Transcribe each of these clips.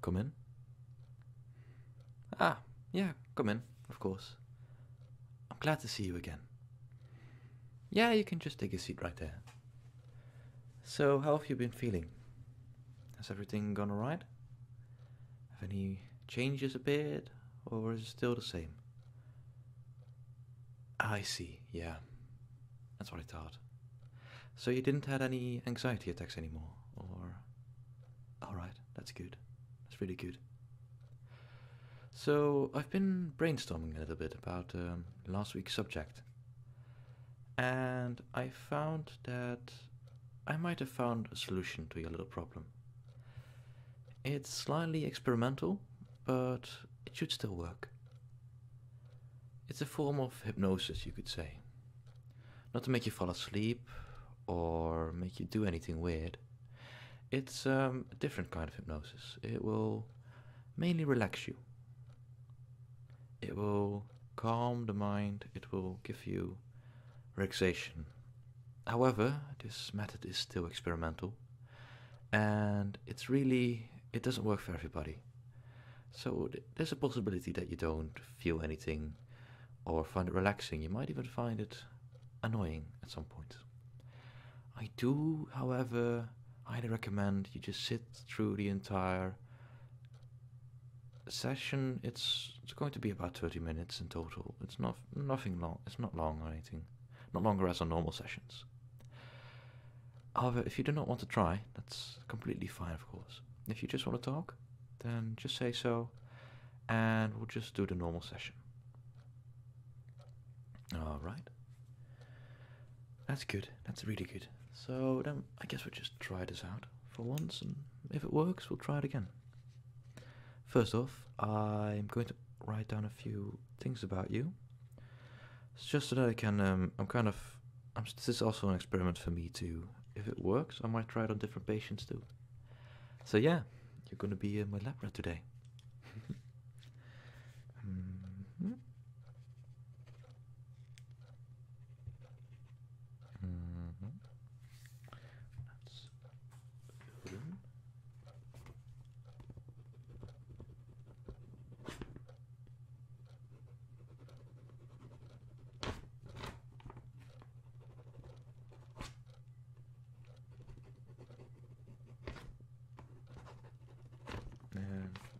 Come in? Ah, yeah, come in, of course. I'm glad to see you again. Yeah, you can just take a seat right there. So, how have you been feeling? Has everything gone alright? Have any changes appeared, or is it still the same? I see, yeah. That's what I thought. So you didn't have any anxiety attacks anymore, or. Alright, that's good. That's really good. So I've been brainstorming a little bit about um, last week's subject. And I found that I might have found a solution to your little problem. It's slightly experimental, but it should still work. It's a form of hypnosis, you could say. Not to make you fall asleep or make you do anything weird. It's um, a different kind of hypnosis. It will mainly relax you. It will calm the mind, it will give you relaxation. However, this method is still experimental, and it's really it doesn't work for everybody. So there's a possibility that you don't feel anything or find it relaxing. You might even find it annoying at some point. I do, however, highly recommend you just sit through the entire session. It's it's going to be about 30 minutes in total. It's not nothing long. It's not long or anything. Not longer as on normal sessions. However, if you do not want to try, that's completely fine, of course. If you just want to talk, then just say so, and we'll just do the normal session. Alright. That's good. That's really good. So then I guess we'll just try this out for once, and if it works, we'll try it again. First off, I'm going to write down a few things about you. It's just so that I can. Um, I'm kind of. this is also an experiment for me too. If it works, I might try it on different patients too. So yeah, you're gonna be uh, my lab rat today. Mm-hmm. Mm-hmm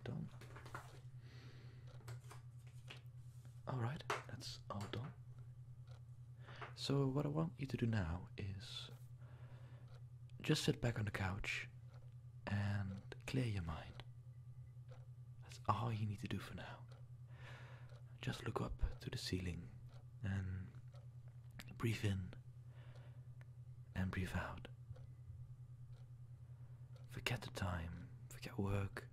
done. Alright, that's all done. So, what I want you to do now is just sit back on the couch and clear your mind. That's all you need to do for now. Just look up to the ceiling and breathe in and breathe out. Forget the time, forget work,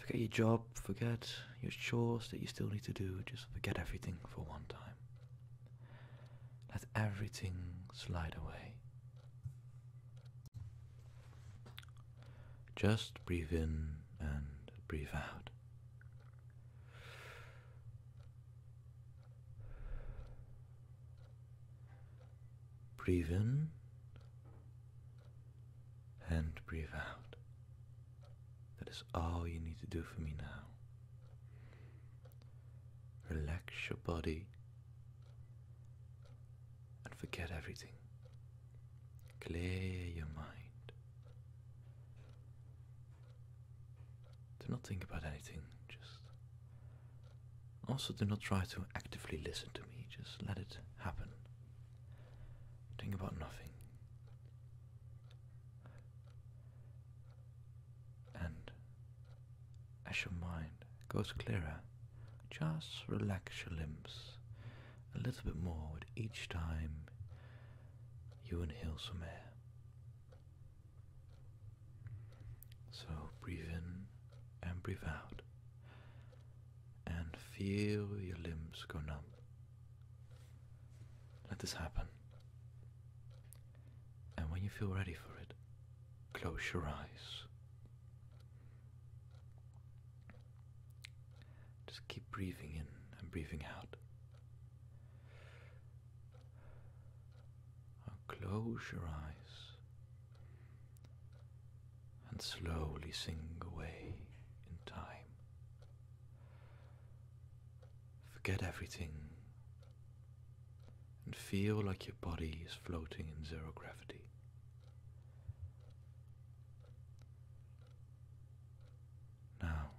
forget your job, forget your chores that you still need to do, just forget everything for one time. Let everything slide away. Just breathe in and breathe out. Breathe in and breathe out. That is all you need to do for me now. Relax your body and forget everything. Clear your mind. Do not think about anything, just. Also, do not try to actively listen to me, just let it happen. Think about nothing and as your mind goes clearer, just relax your limbs a little bit more with each time you inhale some air. So breathe in and breathe out, and feel your limbs go numb. Let this happen and when you feel ready for it, close your eyes. Just keep breathing in and breathing out. close your eyes and slowly sink away in time. Forget everything and feel like your body is floating in zero gravity. Now,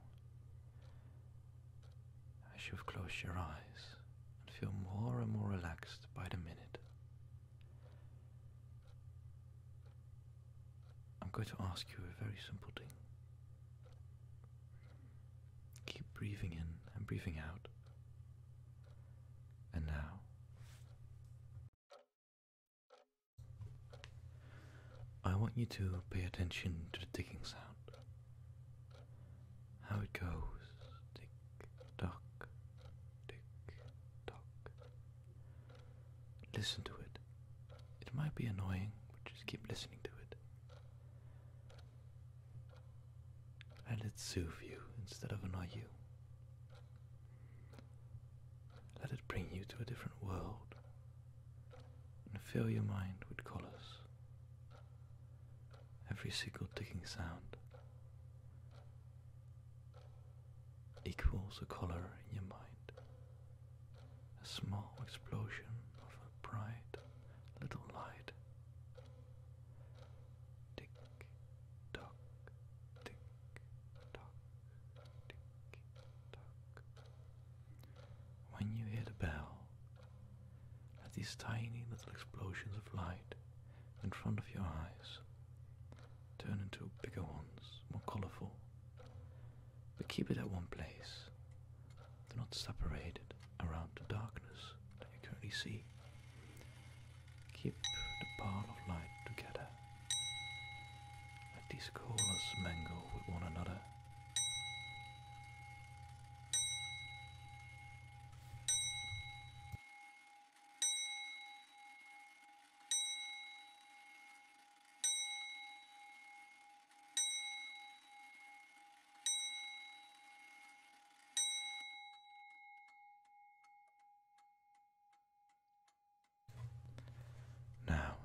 as you've closed your eyes and feel more and more relaxed by the minute, I'm going to ask you a very simple thing. Keep breathing in and breathing out. And now, I want you to pay attention to the ticking sound. How it goes tick tock, tick tock. Listen to it. It might be annoying, but just keep listening to it. Let it soothe you instead of annoy you. Let it bring you to a different world and fill your mind with colors. Every single ticking sound equals a color in your mind, a small explosion of bright little light. Tick tock, tick tock, tick tock. When you hear the bell, these tiny little explosions of light in front of your eyes turn into bigger ones, more colorful, but keep it at one place. Do not separate it around the darkness that you currently see. Keep the ball of light together. Let these colors mingle with one another. Now,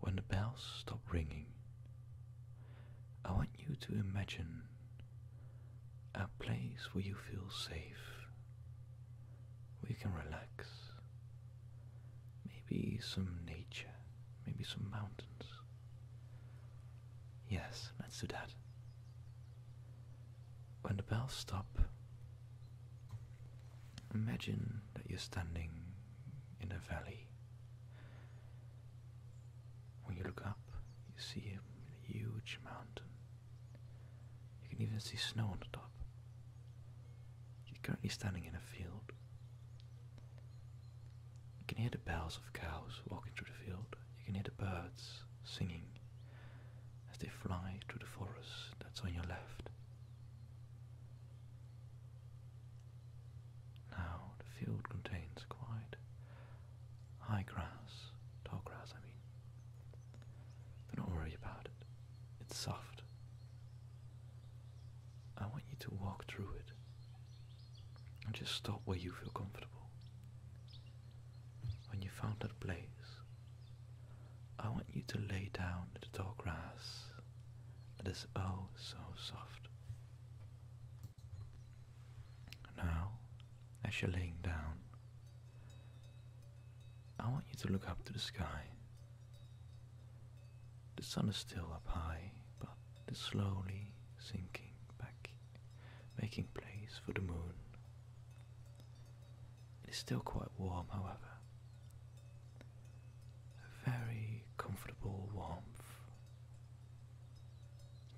when the bells stop ringing, I want you to imagine a place where you feel safe, where you can relax, Maybe some nature, maybe some mountains. Yes, let's do that. When the bells stop, imagine that you're standing in a valley. When you look up, you see a huge mountain. You can even see snow on the top. You're currently standing in a field. You can hear the bells of cows walking through the field. You can hear the birds singing as they fly through the forest that's on your left. Now the field contains quite high grass, tall grass I mean. don't worry about it. It's soft. I want you to walk through it and just stop where you feel comfortable. When you found that place, I want you to lay down in the tall grass that is oh so soft. Now, as you're laying down, I want you to look up to the sky the sun is still up high, but is slowly sinking back, making place for the moon. It is still quite warm, however. A very comfortable warmth.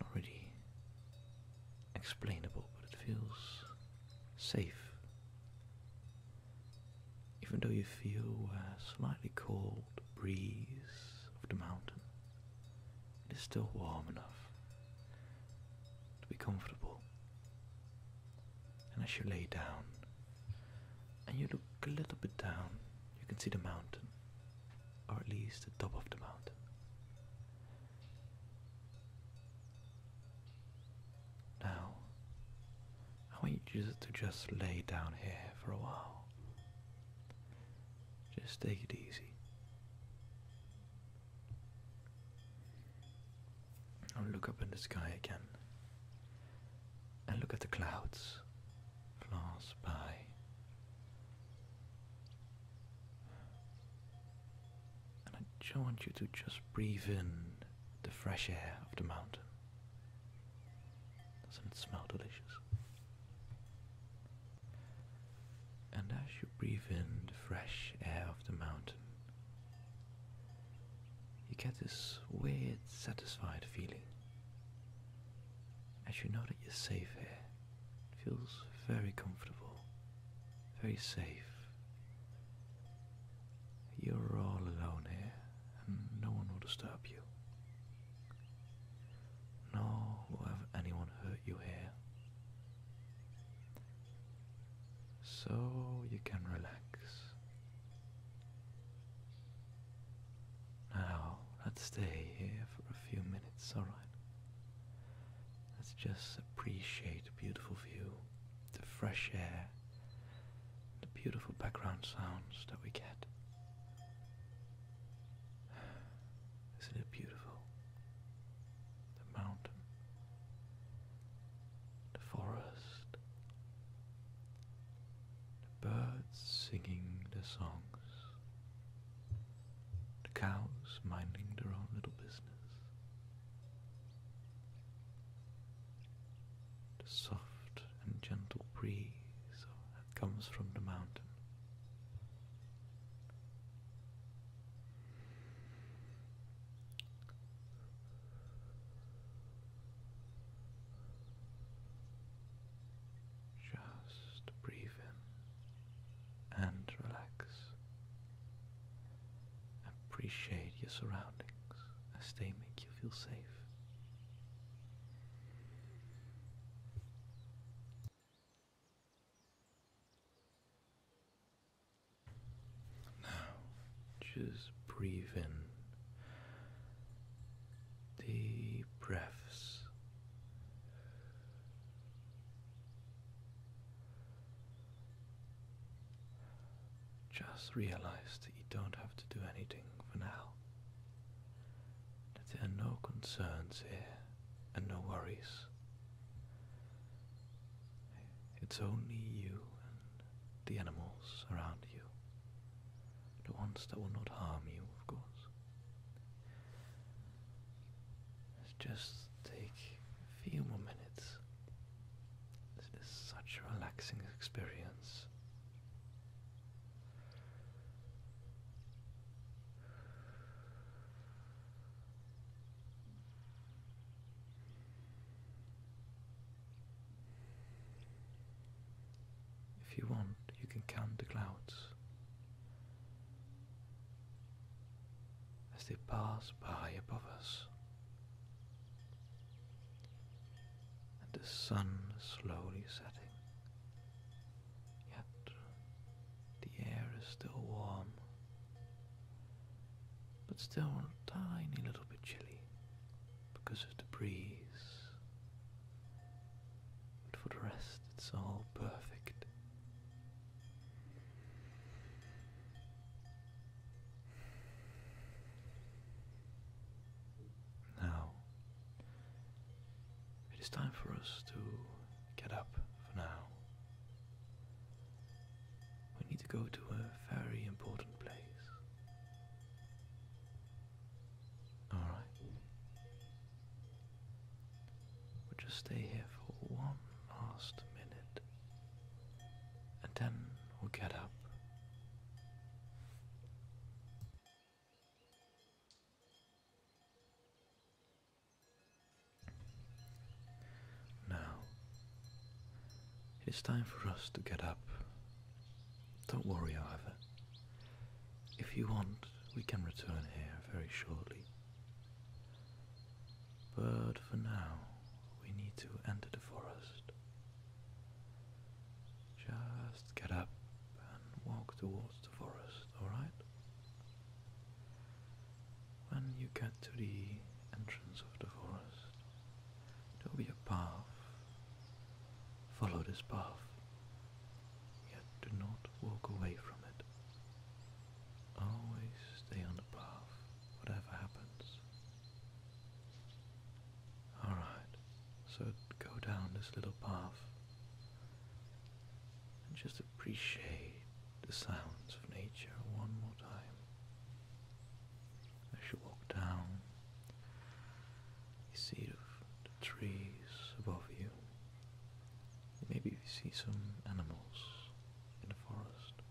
Not really explainable, but it feels safe even though you feel a slightly cold breeze of the mountain, it is still warm enough to be comfortable. And as you lay down and you look a little bit down, you can see the mountain, or at least the top of the mountain. Now, I want you to just lay down here for a while. Just take it easy. I'll look up in the sky again and look at the clouds pass by. And I want you to just breathe in the fresh air of the mountain. Doesn't it smell delicious? And as you breathe in the fresh air of the mountain, you get this weird, satisfied feeling. As you know that you're safe here, it feels very comfortable, very safe. You're all alone here no one will disturb you. Nor will have anyone hurt you here. So you can relax. Now, let's stay here for a few minutes, alright? Let's just appreciate the beautiful view, the fresh air, the beautiful background sounds that we get. Isn't it beautiful? The mountain, the forest, the birds singing their songs, the cows minding their own little business, the soft and gentle breeze that comes from the mountain. Just breathe in and relax. Appreciate your surroundings as they make you feel safe. Now, just breathe in deep breaths. Just realize that you don't have to do anything for now. That there are no concerns here and no worries. It's only you and the animals around you. The ones that will not harm you, of course. Just take a few more minutes this is such a relaxing experience. If you want, you can count the clouds as they pass by above us and the sun slowly setting. Yet the air is still warm, but still a tiny little bit chilly because of the breeze. But for the rest, it's all perfect. Now, it is time for us to get up for now. We need to go to a very important place. Alright. We'll just stay here for one last minute. And then we'll get up now, it's time for us to get up. Don't worry, however. If you want, we can return here very shortly. But for now, we need to enter the forest just get up and walk towards the forest, alright? When you get to the entrance of the forest, there will be a path. Follow this path, yet do not walk away from it. Always stay on the path whatever happens. Alright, so go down this little path and just appreciate the sounds of nature one more time. As you walk down, you see the, the trees above you. Maybe you see some animals in the forest.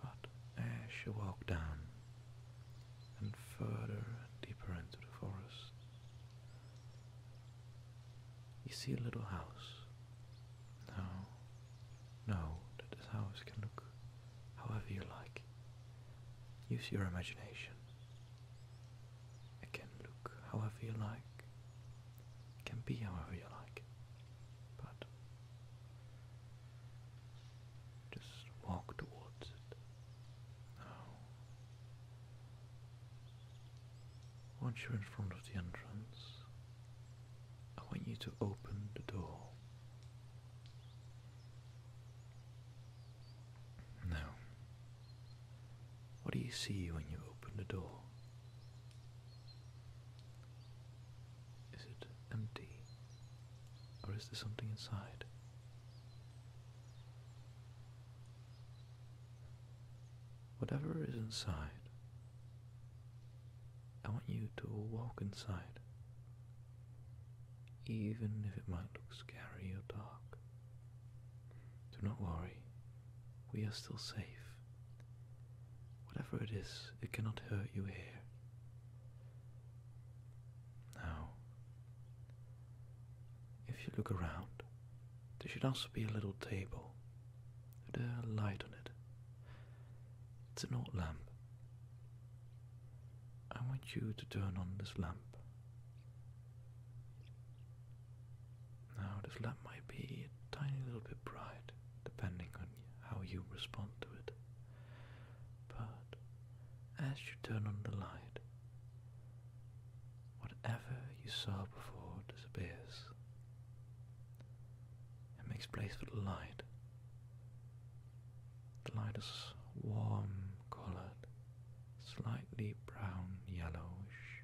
But as you walk down and further and deeper into the forest, you see a little house. Now, know that this house can look however you like. Use your imagination. It can look however you like, it can be however you like. But just walk towards it. Now, once you're in front of the entrance, I want you to open the door. Now, what do you see when you open the door? Is it empty? Or is there something inside? Whatever is inside, I want you to walk inside, even if it might look scary or dark. Do not worry, we are still safe. Whatever it is, it cannot hurt you here. Now, if you look around, there should also be a little table with a light on it. It's not a lamp. I want you to turn on this lamp. Now, this lamp might be a tiny little bit bright depending on how you respond to it. But as you turn on the light, whatever you saw before disappears and makes place for the light. The light is warm colored, slightly brown yellowish,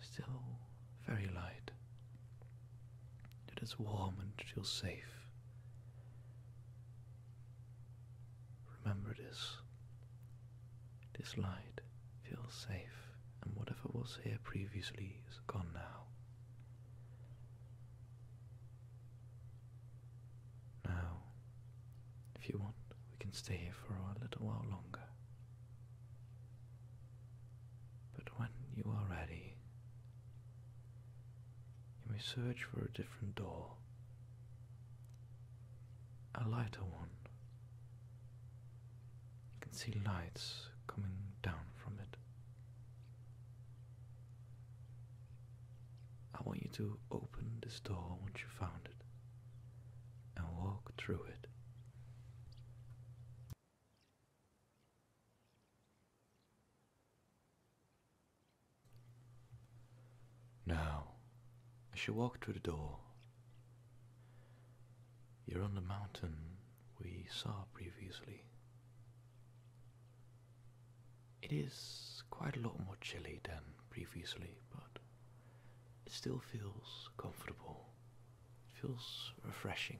still very light. It is warm and feels safe. Remember this. This light feels safe, and whatever was here previously is gone now. Now, if you want, we can stay here for a little while longer. But when you are ready, you may search for a different door, a lighter one. You can see lights coming down from it. I want you to open this door once you found it and walk through it. Now, as you walk through the door, you're on the mountain we saw previously. It is quite a lot more chilly than previously, but it still feels comfortable it feels refreshing.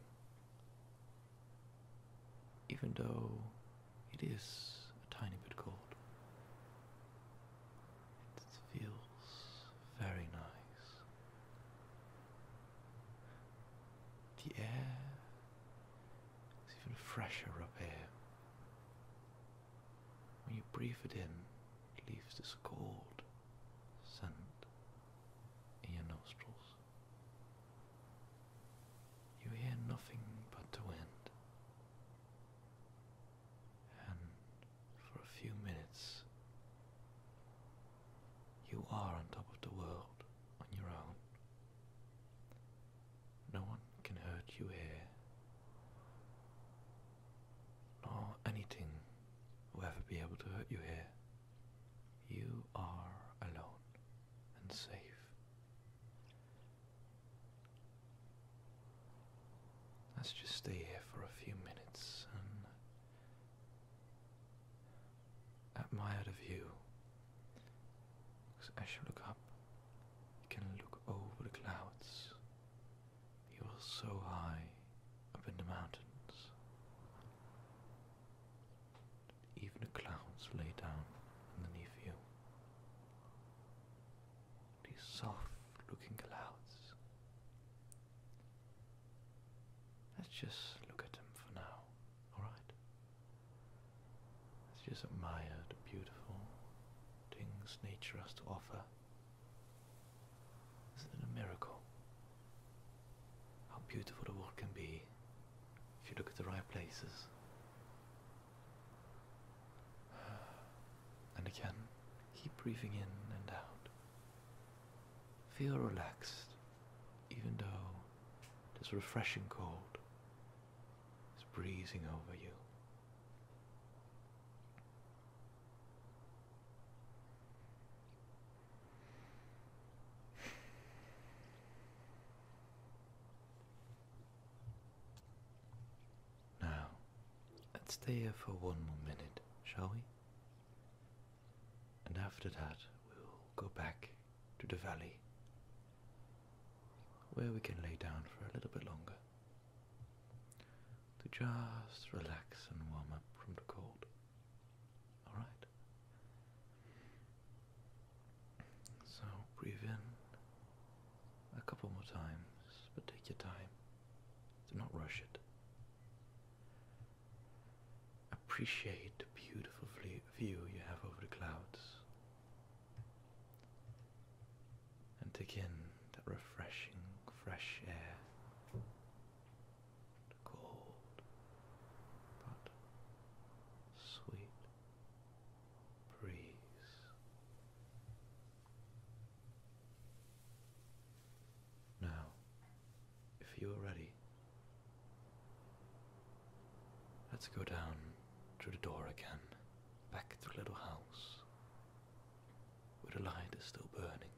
Even though it is a tiny bit cold, it feels very nice. The air is even fresher up here. When you breathe it in, it leaves this cold scent in your nostrils. You hear nothing but the wind, and for a few minutes you are on top of the world on your own. No one can hurt you here, nor anything will ever be able to hurt you here you are alone and safe. Let's just stay here for a few minutes and admire the view. Because as you look up, you can look over the clouds. You are so high up in the mountains. Even the clouds lay down underneath you. These soft looking clouds. Let's just look at them for now, alright? Let's just admire the beautiful things nature has to offer. Isn't it a miracle? how beautiful the world can be if you look at the right places. And again, keep breathing in and out. Feel relaxed, even though this refreshing cold is breezing over you. Now, let's stay here for one more minute, shall we? And after that, we'll go back to the valley where we can lay down for a little bit longer to just relax and warm up from the cold. All right. So breathe in a couple more times, but take your time. Do not rush it. Appreciate the beautiful view you have over the clouds. And take in that refreshing, fresh air cold but sweet breeze. Now, if you are ready, let's go down through the door again, back to the little house where the light is still burning.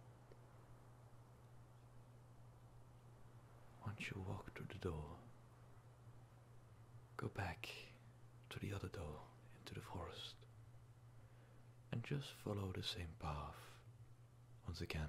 Once you walk through the door, go back to the other door into the forest and just follow the same path once again.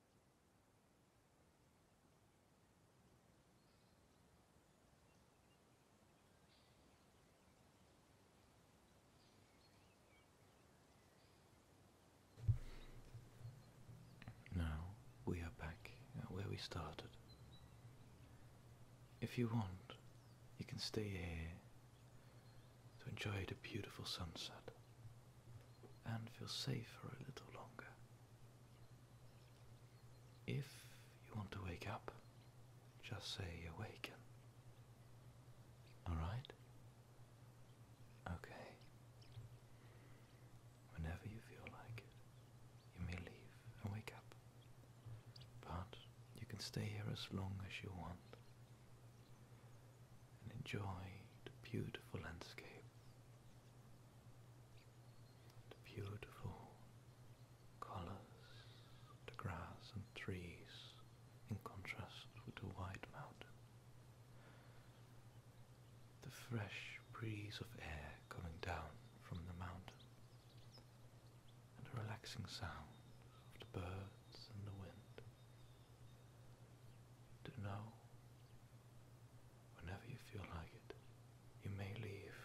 Now we are back at where we started. If you want, you can stay here to enjoy the beautiful sunset and feel safe for a little longer. If you want to wake up, just say awaken. Alright? Okay. Whenever you feel like it, you may leave and wake up. But you can stay here as long as you want and enjoy the beautiful landscape, the beautiful colors, the grass and trees in contrast with the white mountain, the fresh breeze of air coming down from the mountain, and the relaxing sound of the birds and the wind. To know Whenever you feel like it, you may leave.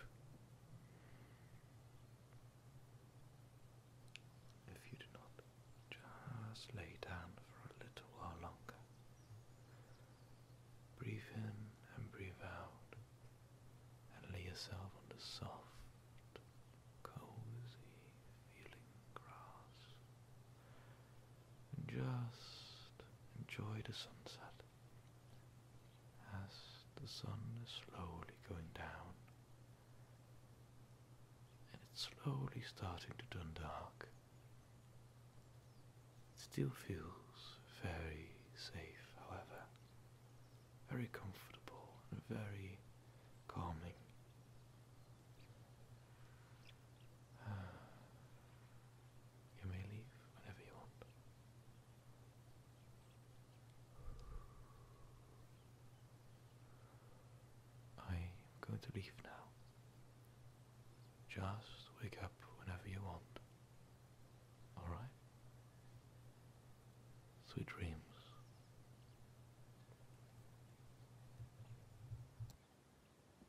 If you do not, just lay down for a little while longer. Breathe in and breathe out, and lay yourself on the soft, cozy, feeling grass. just enjoy the sunset as the sun is slowly going down. And it's slowly starting to turn dark. It still feels very safe, however, very comfortable and very calming. You may leave whenever you want. I am going to leave now. Just wake up whenever you want. Alright? Sweet dreams.